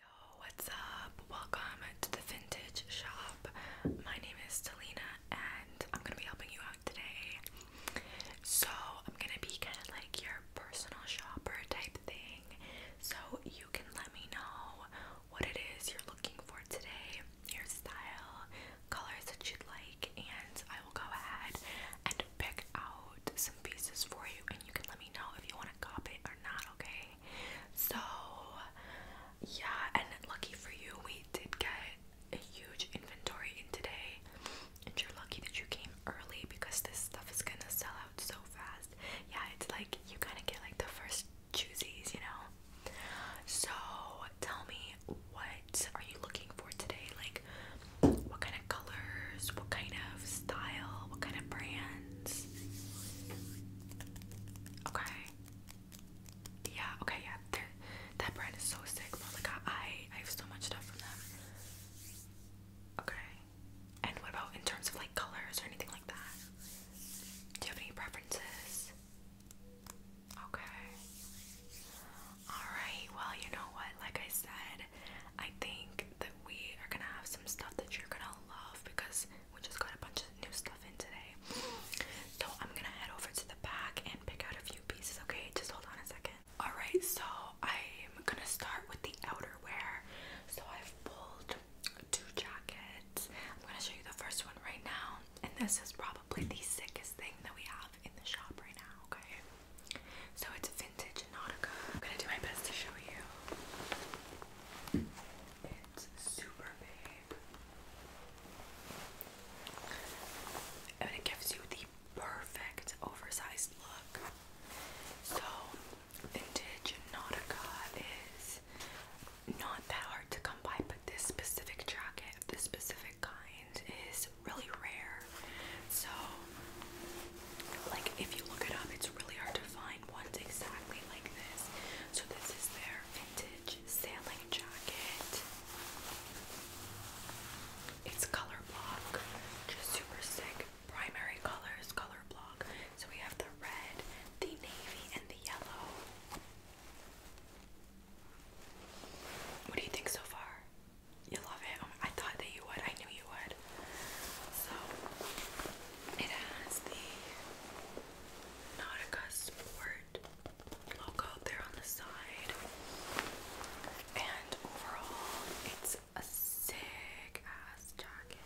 Yo, what's up? Welcome to the vintage shop. My name is Selena and I'm gonna be helping you out today. So, I'm gonna be kind of like your personal shopper type thing. So, you can let me know what it is you're looking for today, your style, colors that you'd like, and I will go ahead and pick out some pieces for you. And you can let me know if you want to cop it or not, okay? So yeah, and lucky for you, we did get a huge inventory in today. And you're lucky that you came early because this stuff is gonna sell out so fast. Yeah, it's like you kind of get like the first choosies, you know. So tell me, what are you looking for today? Like, what kind of colors? What kind of style? What kind of brand? Okay. Yeah, okay, yeah. that brand is so sick. my god, I, I have so much stuff from them. Okay. And what about in terms of like colors or anything like that? Do you have any preferences? Okay. Alright, well, you know what? Like I said, I think that we are gonna have some stuff that you're gonna love because we just got a bunch of new stuff in today. So I'm gonna head over to the back and pick out a few pieces, okay? Just hold on a second. Alright, so I'm gonna start with the outerwear. So I've pulled two jackets. I'm gonna show you the first one right now, and this is probably the sickest thing that we have in the shop right now, okay? So it's vintage Nautica. I'm gonna do my best to show you. It's super big. And it gives you the perfect oversized look. So, vintage Nautica is not that hard to come by, but this specific jacket of this specific kind is really rare. So, like, if you look it up, it's really hard to find ones exactly like this. So this is their vintage sailing jacket. It's color block, just super sick. Primary colors, color block. So we have the red, the navy, and the yellow. What do you think so far? You love it? I thought that you would. I knew you would. So it has the Nautica Sport logo there on the side. And overall it's a sick ass jacket.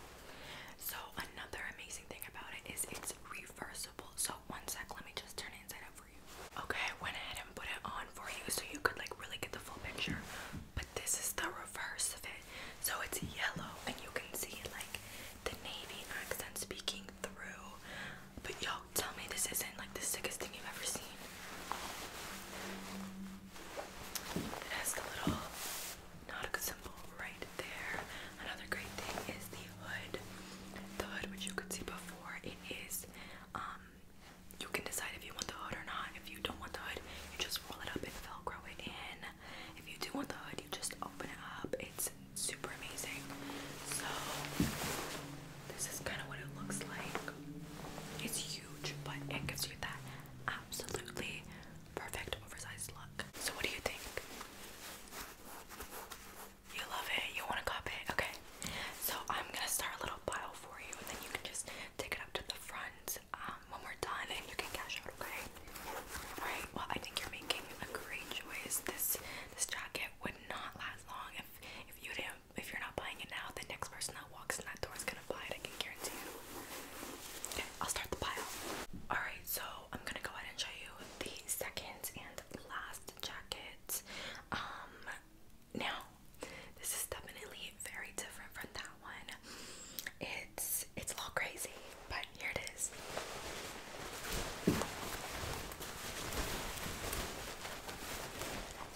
So another amazing thing about it is it's reversible. So one sec, let me just turn it inside out for you. Okay, I went ahead and put it on for you so you could like really get the full picture. But this is the reverse of it. So it's yellow and you can see like the navy accent speaking through. But y'all tell me this isn't like the sickest thing you've ever seen. It has the little Nautica symbol right there. Another great thing is the hood. The hood which you could see before it is um you can decide if you want the hood or not. If you don't want the hood, you just roll it up and velcro it in. If you do want the hood, you just open it up. It's super amazing. So this is kind of what it looks like. It's huge, but it gives you that absolutely perfect oversized look. So what do you think? You love it. You want to copy it. Okay. So I'm gonna start a little pile for you, and then you can just take it up to the front when we're done and you can cash out, okay? Alright, well I think you're making a great choice. This this jacket would not last long if if you didn't if you're not buying it now, the next person that walks in that door is gonna buy it, I can guarantee you. I'll start the pile. Alright, so I'm gonna go ahead and show you the second and last jacket. Um now this is definitely very different from that one. It's it's a little crazy, but here it is.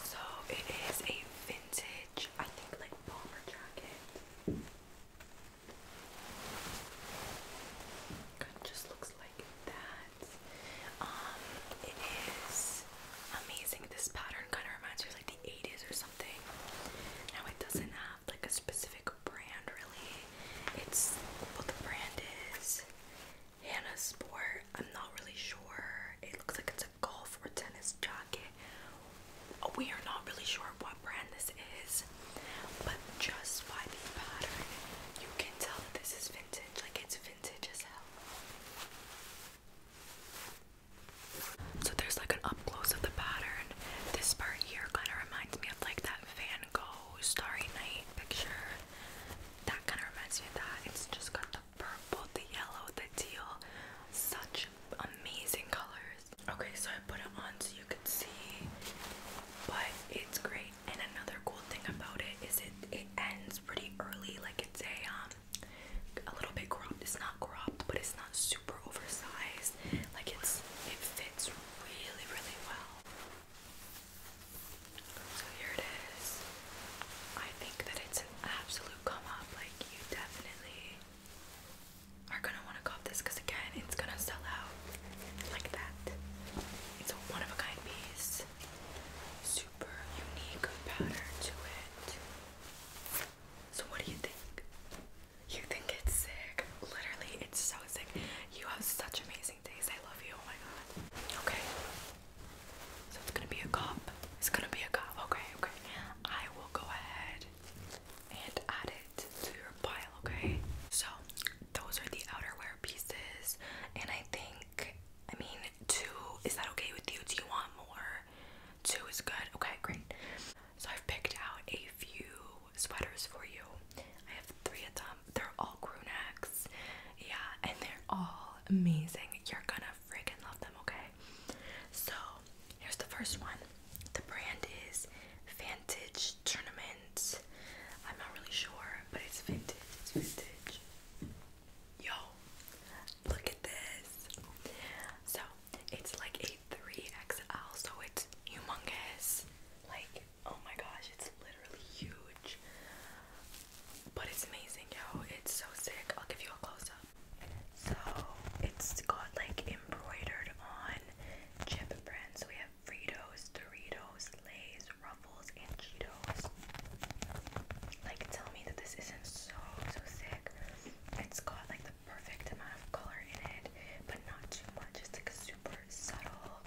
So it is a vintage, I think like bomber jacket. It just looks like that. Um, it is amazing. This pattern kind of reminds me of like 80s or something. Now it doesn't have like a specific brand really. It's what the brand is. Hannah Sport. I'm not really sure. It looks like it's a golf or tennis jacket. We are not really sure what brand this is, but just by the pattern, you can tell that this is vintage. Like it's vintage as hell. So there's like an up close of the pattern. This part here kind of reminds me of like that Van Gogh Starry Night picture. That kind of reminds me of that. It's just got the purple, the yellow, the teal. Such amazing colors. Okay, so I put it on so you can see, but it's great. And another cool thing about it is it it ends pretty early. Like it's a um a little bit cropped. It's not cropped, but it's not super oversized. Like it's it fits really, really well. So here it is. I think that it's an absolute come up. Like you definitely are gonna want to cop this because again, it's gonna sell out like that. It's a one of a kind piece. Super unique pattern to it. So what do you think? You think it's sick? Literally, it's so sick. You have such amazing days. I love you. Oh my god. Okay. So it's gonna be a cup. It's gonna be a cup. Okay, okay. I will go ahead and add it to your pile, okay? So those are the outerwear pieces, and I think I mean two is that okay with you? Do you want more? Two is good. Okay, great. So I've picked out a few sweaters for you. I have three of them. They're all crew Yeah, and they're all amazing. You're gonna freaking love them, okay? So here's the first one. The brand is Vantage Tournament. I'm not really sure, but it's vintage. It's vintage. Yo, look at this. So it's like a 3XL, so it's humongous. Like, oh my gosh, it's literally huge. But it's amazing, yo. It's so sick. I'll give you a close up. So, it's got like embroidered on chip brands. we have Fritos, Doritos, Lay's, Ruffles, and Cheetos. Like, tell me that this isn't so, so sick. It's got like the perfect amount of color in it, but not too much. It's like a super subtle,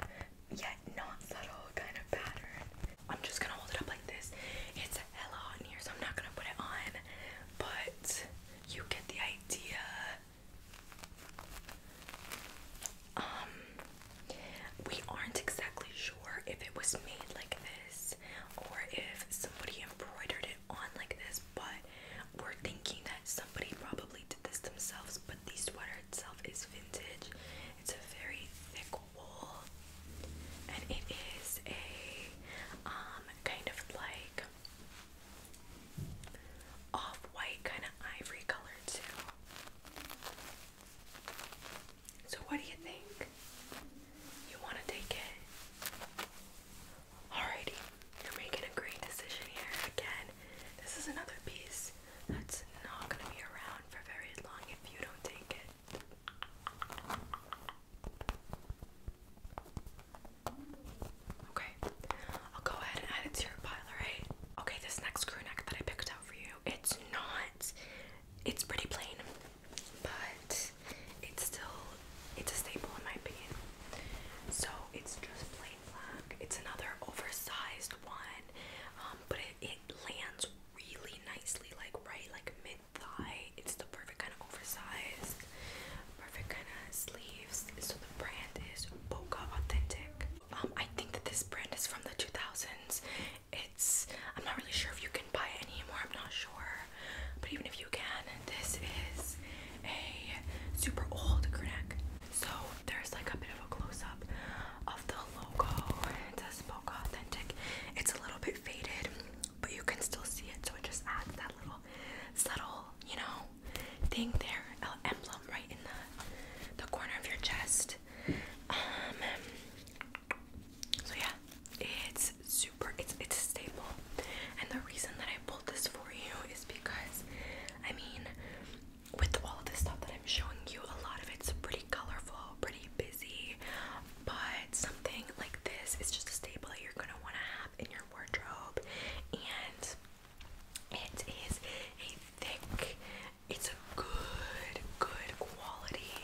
yet not subtle kind of pattern. I'm just gonna hold it up like this. It's hella hot in here, so I'm not gonna put it on, but you get the idea. Um, we aren't exactly sure if it was made like this or if somebody embroidered it on like this, but we're thinking that somebody probably did this themselves. But the sweater itself is vintage, it's a very thick wool, and it is a um kind of like off white, kind of ivory color, too. So, what do you think? You want to take it? Alrighty, you're making a great decision here. Again, this is another piece that's not going to be around for very long if you don't take it. Okay, I'll go ahead and add it to your pile, alright? Okay, this next crew neck that I picked out for you, it's not, it's pretty plain but it's still it's a staple in my opinion. So it's just plain black. It's another oversized one, um, but it, it lands really nicely, like right, like mid thigh. It's the perfect kind of oversized, perfect kind of sleeves. So the brand is Boca Authentic. Um, I think that this brand is from the 2000s. It's I'm not really sure if you can buy anymore. I'm not sure. But even if you can, this is a super old crew So there's like a bit of a close-up of the logo. It says Boca Authentic. It's a little bit faded, but you can still see it, so it just adds that little subtle, you know, thing there, emblem right in the the corner of your chest. Um so yeah, it's super it's it's a staple. And the reason that I pulled this for you is because I mean with all of this stuff that I'm showing you, a lot of it's pretty colorful, pretty busy, but something like this is just a staple that you're gonna wanna have in your wardrobe and it is a thick it's a good good quality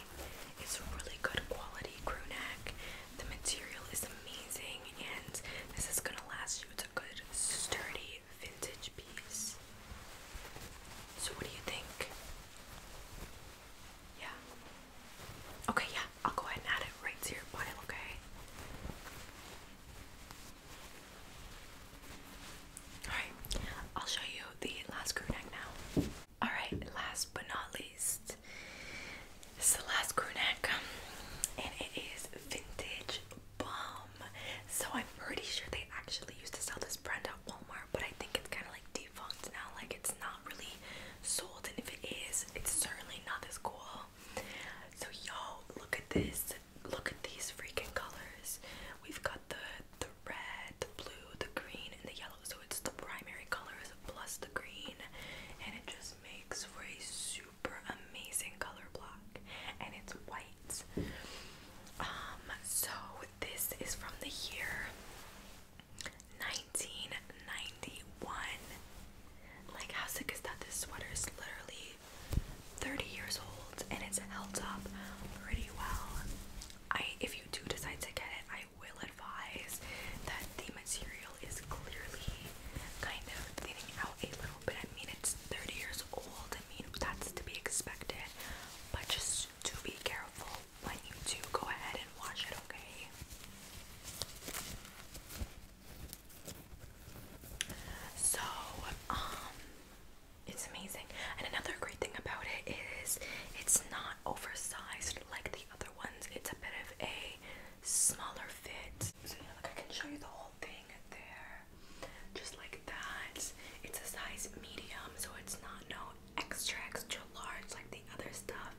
it's a really good quality crew neck the material is amazing, and this is gonna last you. It's a good, sturdy, vintage piece. So, what do you think? Yeah. Okay, yeah, I'll go ahead and add it right to your okay? Alright, I'll show you the last crew neck now. Alright, last but not least, it. This is the last crew and it is vintage bomb. So I'm pretty sure they actually used to sell this brand at Walmart, but I think it's kind of like defunct now. Like it's not really sold, and if it is, it's certainly not as cool. So yo, look at this. Look at these freaking colors. We've got the the red, the blue, the green, and the yellow. So it's the primary colors plus the green, and it just makes for a super amazing color block and it's white. Um, so this is from the year 1991. Like, how sick is that? This sweater is literally 30 years old and it's held up pretty well. I, if you do decide to get it, I will advise that the material is clearly kind of thinning out a little bit. I mean, it's 30 years old. I mean, that's to be expected. But just to be careful when you do go ahead and wash it, okay? So, um, it's amazing. And another great thing about it is it's not oversized like the other ones. It's a bit of a smaller fit. So yeah, like I can show you the whole thing there, just like that. It's a size medium, so it's not no extra extra large like the other stuff.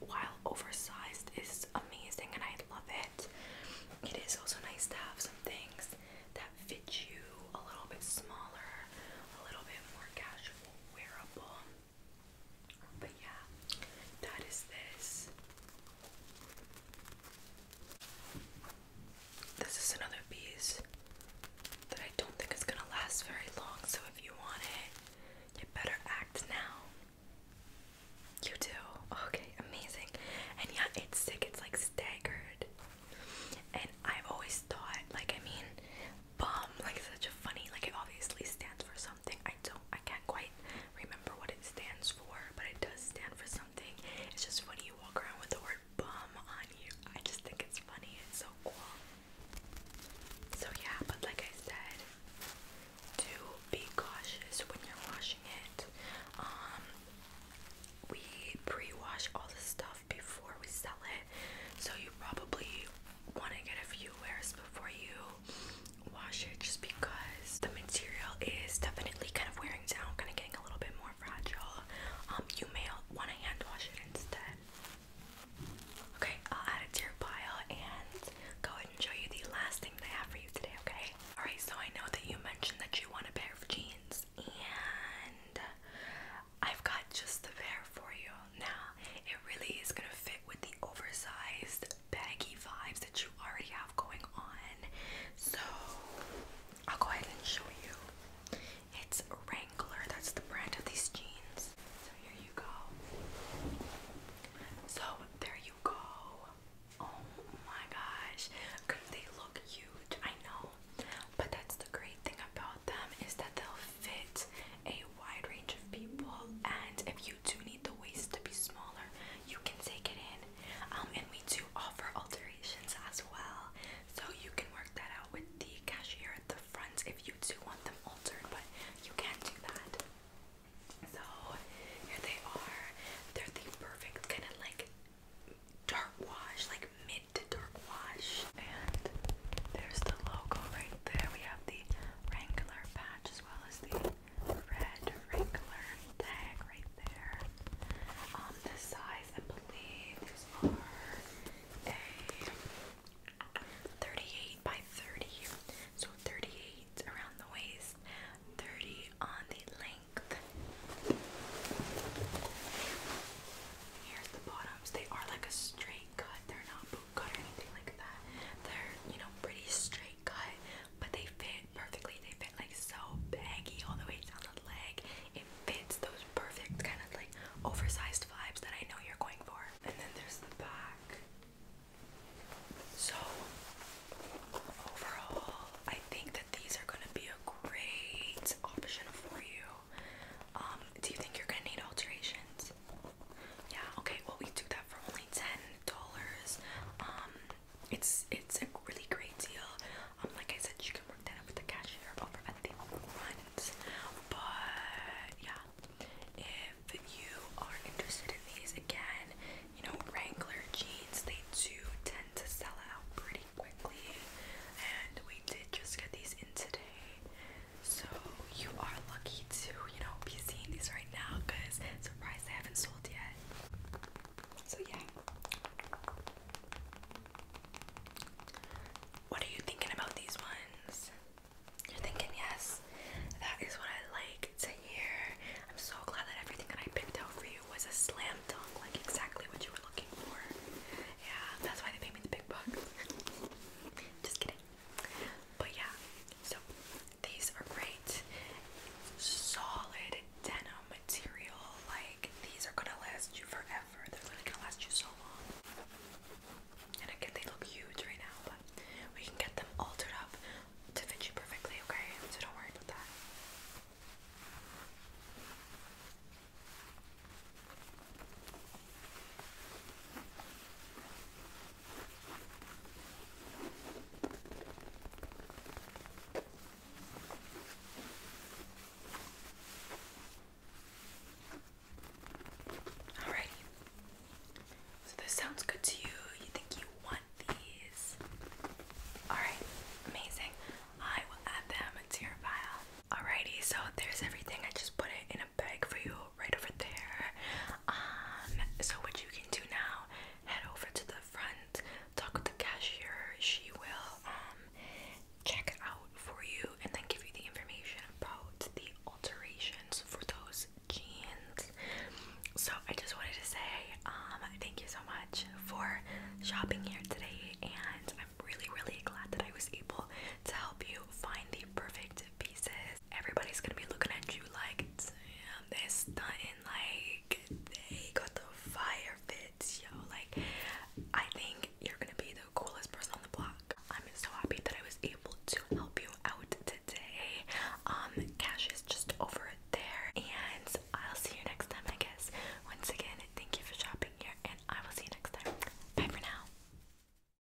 While oversized is amazing and I love it. It is also nice to have some things that fit you a little bit smaller, a little bit more casual, wearable. But yeah, that is this. This is another piece that I don't think is gonna last very long, so if you want it, you better act now. You do. Okay, amazing. And yeah, it's sick, it's like staggered. And I've always thought, like, I mean, bum, like such a funny, like it obviously stands for something. I don't, I can't quite remember what it stands for, but it does stand for something. It's just funny you walk around with the word bum on you. I just think it's funny. It's so cool. So yeah, but like I said, do be cautious when you're washing it. Um, we pre-wash all the stuff before we sell it, so you probably want to get a few wears before you wash it just because the material is definitely kind of wearing down, kind of getting a little bit more fragile. Um, you may want to hand wash it instead. Okay, I'll add it to your pile and go ahead and show you the last thing I have for you today, okay? Alright, so I know that you mentioned that you want a pair of jeans, and I've got just the pair for you now it really is gonna fit with the oversized baggy vibes that you already have going on. So I'll go ahead and show you. It's Wrangler, that's the brand of these jeans. So here you go. So there you go. Oh my gosh, because they look huge, I know. But that's the great thing about them is that they'll fit a wide range of people, and if you do need the waist to be smaller, you can take it in. Um, and we do offer alterations as well, so you can work that out with the cashier at the front if you do want them altered, but you can do that. So here they are. They're the perfect kind of like dark wash, like mid to dark wash. And there's the logo right there. We have the Wrangler patch as well as the red Wrangler tag right there. Um, the size I believe are a 38 by 30, so 38 around the waist, 30 on the length. Here's the bottoms. They are like a straight cut. They're not cut or anything like that. They're, you know, pretty straight cut, but they fit perfectly. They fit like so baggy all the way down the leg. It fits those perfect kind of like oversized vibes that I know you're going for. And then there's the back. So overall, I think that these are gonna be a great option for you. Um, do you think you're gonna need alterations? Yeah, okay, well we do that for only ten dollars. Um it's it's a really great deal. Um like I said you can work that up with the cashier over at the front. But yeah. If you are interested in these again, you know, Wrangler jeans, they do tend to sell out pretty quickly. And we did just get these in today. So you are lucky to, you know, be seeing these right now because surprise they haven't sold yet. So yeah. What are you thinking about these ones? You're thinking yes. That is what I like to hear. I'm so glad that everything that I picked out for you was a slam dunk, like exactly what you were looking for. Yeah, that's why they paid me the big bucks. Just kidding. But yeah, so these are great. Solid denim material. Like these are gonna last you forever. They're really gonna last you so long. And again, they look huge right now, but we can get them altered up to fit you perfectly, okay? So don't worry about that. Alrighty. So this sounds good to you. You think you want these? Alright, amazing. I will add them to your file. Alrighty, so there's everything. I just put it in a bag for you right over there. Um, so what you can do now, head over to the front, talk with the cashier. She will um, check out for you and then give you the information about the alterations for those jeans. So I just wanted to say um, thank you so much for shopping here today and I'm really really glad that I was able to help you find the perfect pieces everybody's gonna be looking at you like, damn, they're stunting, like, they got the fire fits, yo. Like, I think you're gonna be the coolest person on the block. I'm so happy that I was able to help you out today. Um, cash is just over there, and I'll see you next time, I guess. Once again, thank you for shopping here, and I will see you next time. Bye for now.